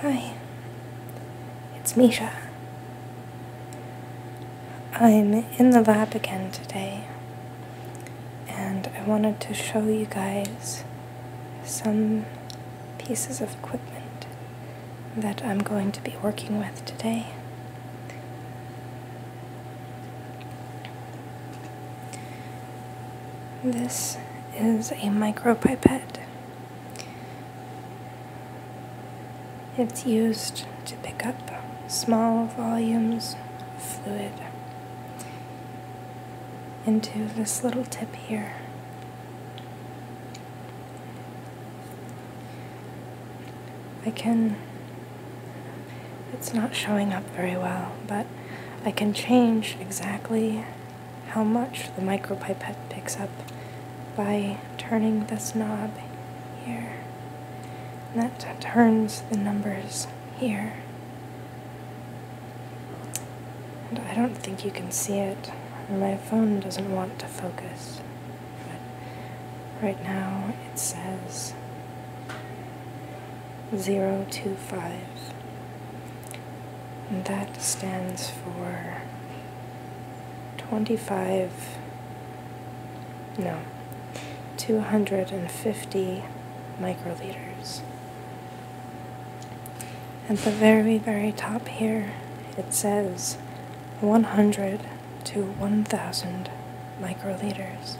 Hi, it's Misha. I'm in the lab again today, and I wanted to show you guys some pieces of equipment that I'm going to be working with today. This is a micropipette. It's used to pick up small volumes of fluid into this little tip here. I can, it's not showing up very well, but I can change exactly how much the micropipette picks up by turning this knob here. And that turns the numbers here. And I don't think you can see it. My phone doesn't want to focus. But right now it says 025 and that stands for 25 no 250 microliters at the very very top here it says 100 to 1000 microliters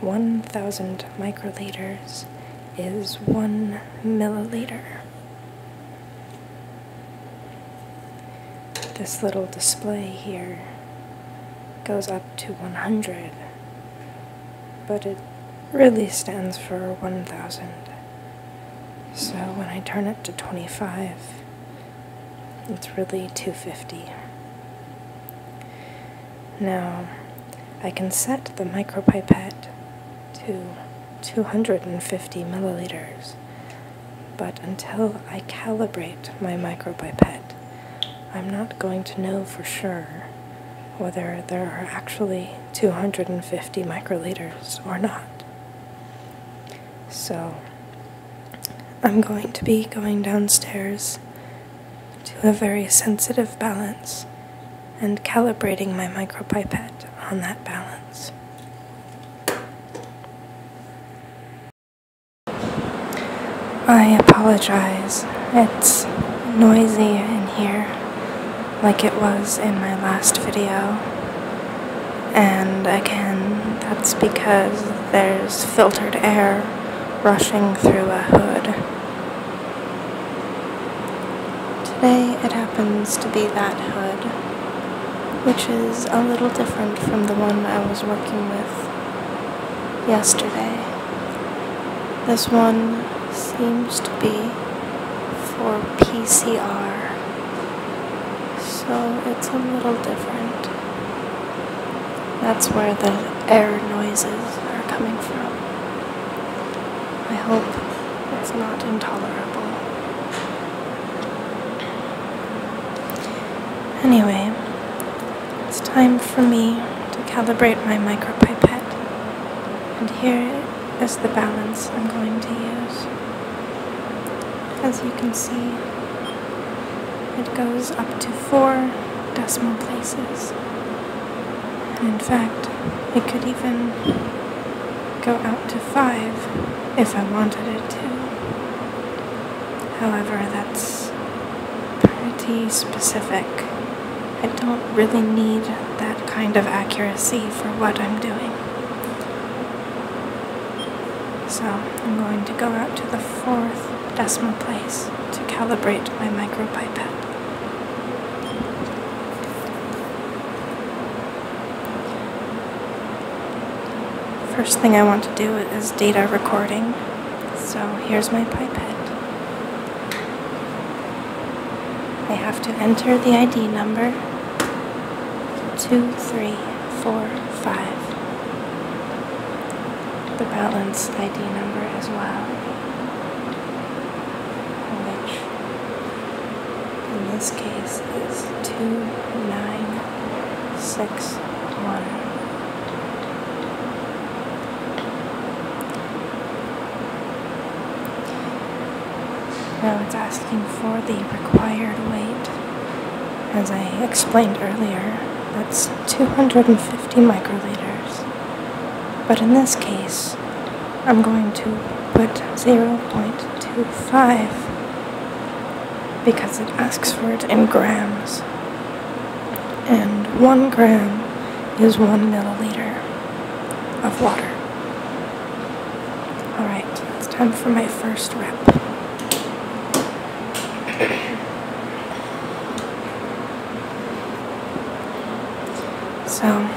1,000 microliters is 1 milliliter. This little display here goes up to 100, but it really stands for 1,000. So when I turn it to 25, it's really 250. Now, I can set the micropipette to 250 milliliters, but until I calibrate my micropipette, I'm not going to know for sure whether there are actually 250 microliters or not. So, I'm going to be going downstairs to a very sensitive balance and calibrating my micropipette on that balance. I apologize. It's noisy in here, like it was in my last video. And again, that's because there's filtered air rushing through a hood Today it happens to be that hood, which is a little different from the one I was working with yesterday. This one seems to be for PCR, so it's a little different. That's where the air noises are coming from. I hope it's not intolerable. Anyway, it's time for me to calibrate my micropipette. And here is the balance I'm going to use. As you can see, it goes up to four decimal places. And in fact, it could even go out to five if I wanted it to. However, that's pretty specific. I don't really need that kind of accuracy for what I'm doing. So I'm going to go out to the fourth decimal place to calibrate my micropipette. First thing I want to do is data recording, so here's my pipette. I have to enter the ID number, 2345 the balance ID number as well which in this case is 2961. Now it's asking for the required weight. As I explained earlier, that's 250 microliters. But in this case, I'm going to put 0.25 because it asks for it in grams. And one gram is one milliliter of water. Alright, it's time for my first rep. So I'm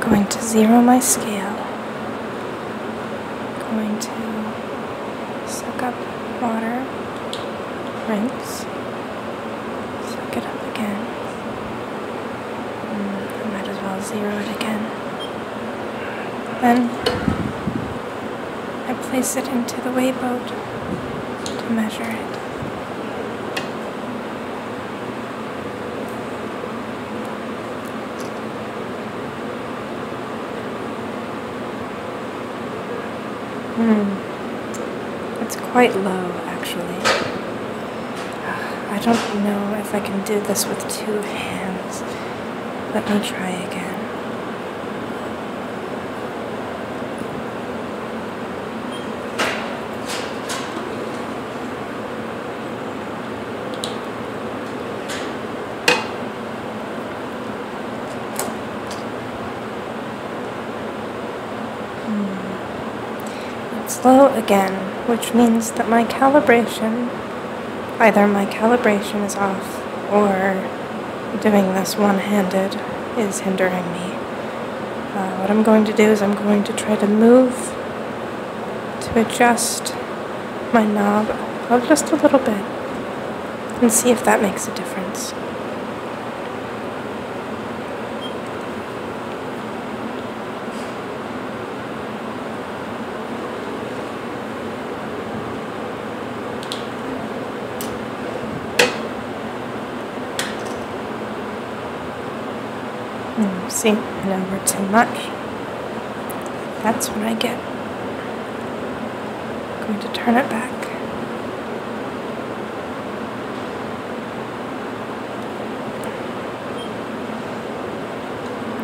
going to zero my scale. going to suck up water, rinse, suck it up again. Mm, I might as well zero it again. Then I place it into the wayboat to measure it. Hmm. It's quite low, actually. I don't know if I can do this with two hands. Let me try again. Hmm. It's low again, which means that my calibration, either my calibration is off or doing this one-handed is hindering me. Uh, what I'm going to do is I'm going to try to move to adjust my knob just a little bit and see if that makes a difference. Oh, see, and I work too much. That's what I get. going to turn it back.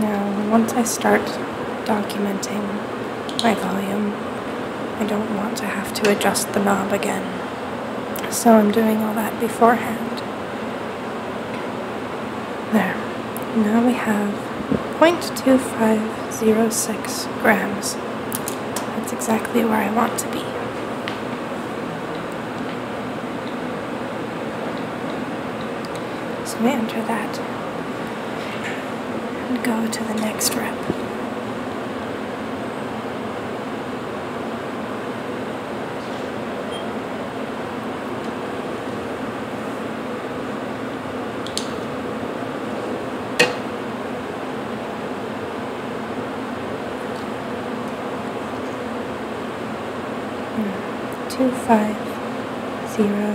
Now, once I start documenting my volume, I don't want to have to adjust the knob again. So I'm doing all that beforehand. There. Now we have 0.2506 grams. That's exactly where I want to be. So we enter that and go to the next rep. Hmm. Two, five, zero,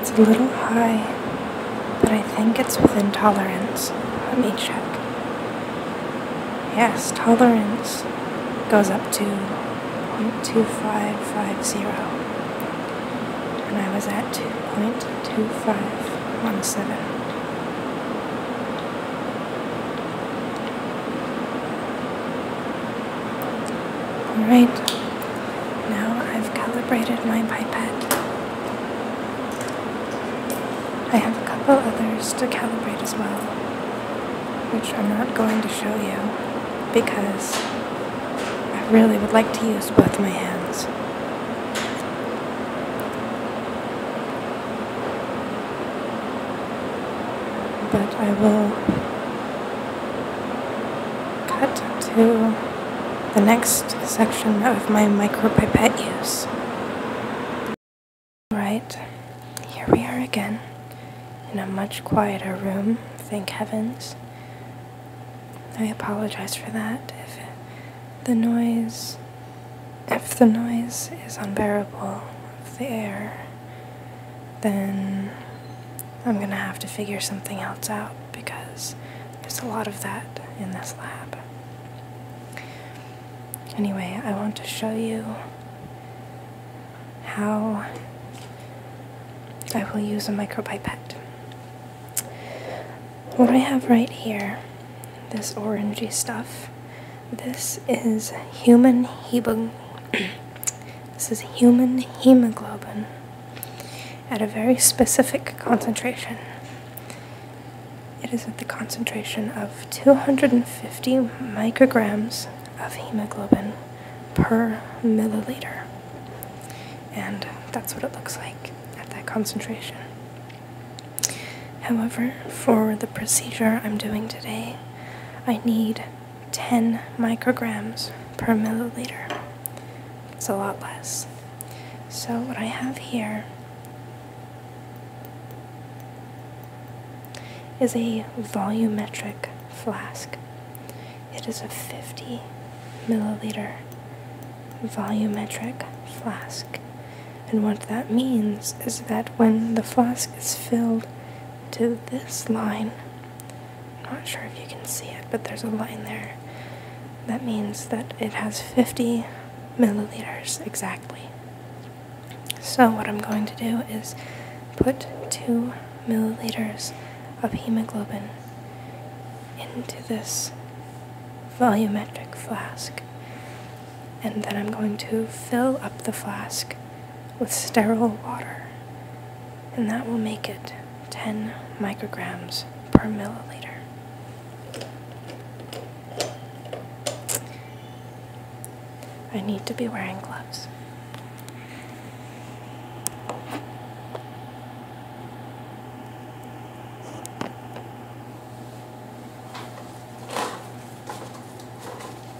It's a little high, but I think it's within tolerance. Let me check. Yes, tolerance goes up to 0.2550, and I was at 2.2517. Alright, now I've calibrated my pipette. I have a couple others to calibrate as well, which I'm not going to show you because I really would like to use both my hands. But I will Cut to the next section of my micropipette use. Right, here we are again in a much quieter room, thank heavens. I apologize for that if the noise if the noise is unbearable, if the air then I'm going to have to figure something else out because there's a lot of that in this lab. Anyway, I want to show you how I will use a micropipette. What I have right here, this orangey stuff, this is human hebug This is human hemoglobin at a very specific concentration. It is at the concentration of 250 micrograms of hemoglobin per milliliter. And that's what it looks like at that concentration. However, for the procedure I'm doing today, I need 10 micrograms per milliliter. It's a lot less. So what I have here is a volumetric flask. It is a 50 milliliter volumetric flask. And what that means is that when the flask is filled to this line, I'm not sure if you can see it, but there's a line there. That means that it has 50 milliliters exactly. So what I'm going to do is put 2 milliliters of hemoglobin into this volumetric flask. And then I'm going to fill up the flask with sterile water, and that will make it 10 micrograms per milliliter. I need to be wearing gloves.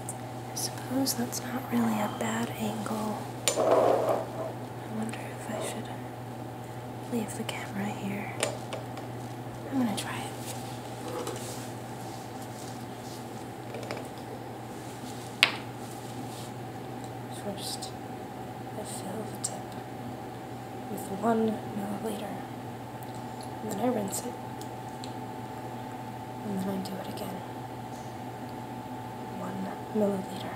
I suppose that's not really a bad angle. I wonder if I should leave the camera here. I'm gonna try it. First, I fill the tip with one milliliter, and then I rinse it, and then I do it again one milliliter.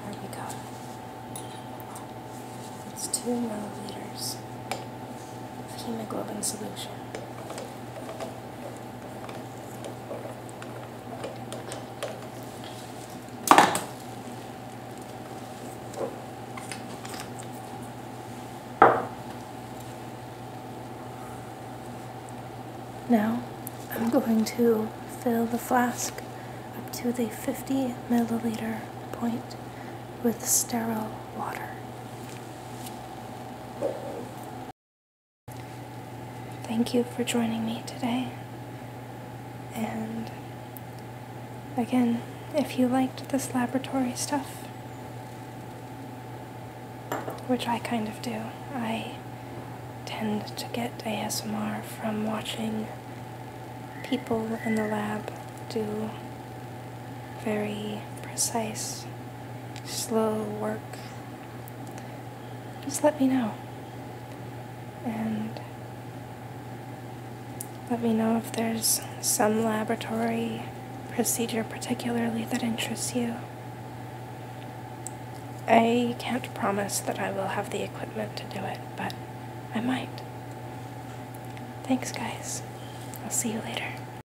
There we go. It's two milliliters hemoglobin solution. Now I'm going to fill the flask up to the 50 milliliter point with sterile water. Thank you for joining me today. And again, if you liked this laboratory stuff, which I kind of do, I tend to get a ASMR from watching people in the lab do very precise, slow work, just let me know. And let me know if there's some laboratory procedure particularly that interests you. I can't promise that I will have the equipment to do it, but I might. Thanks, guys. I'll see you later.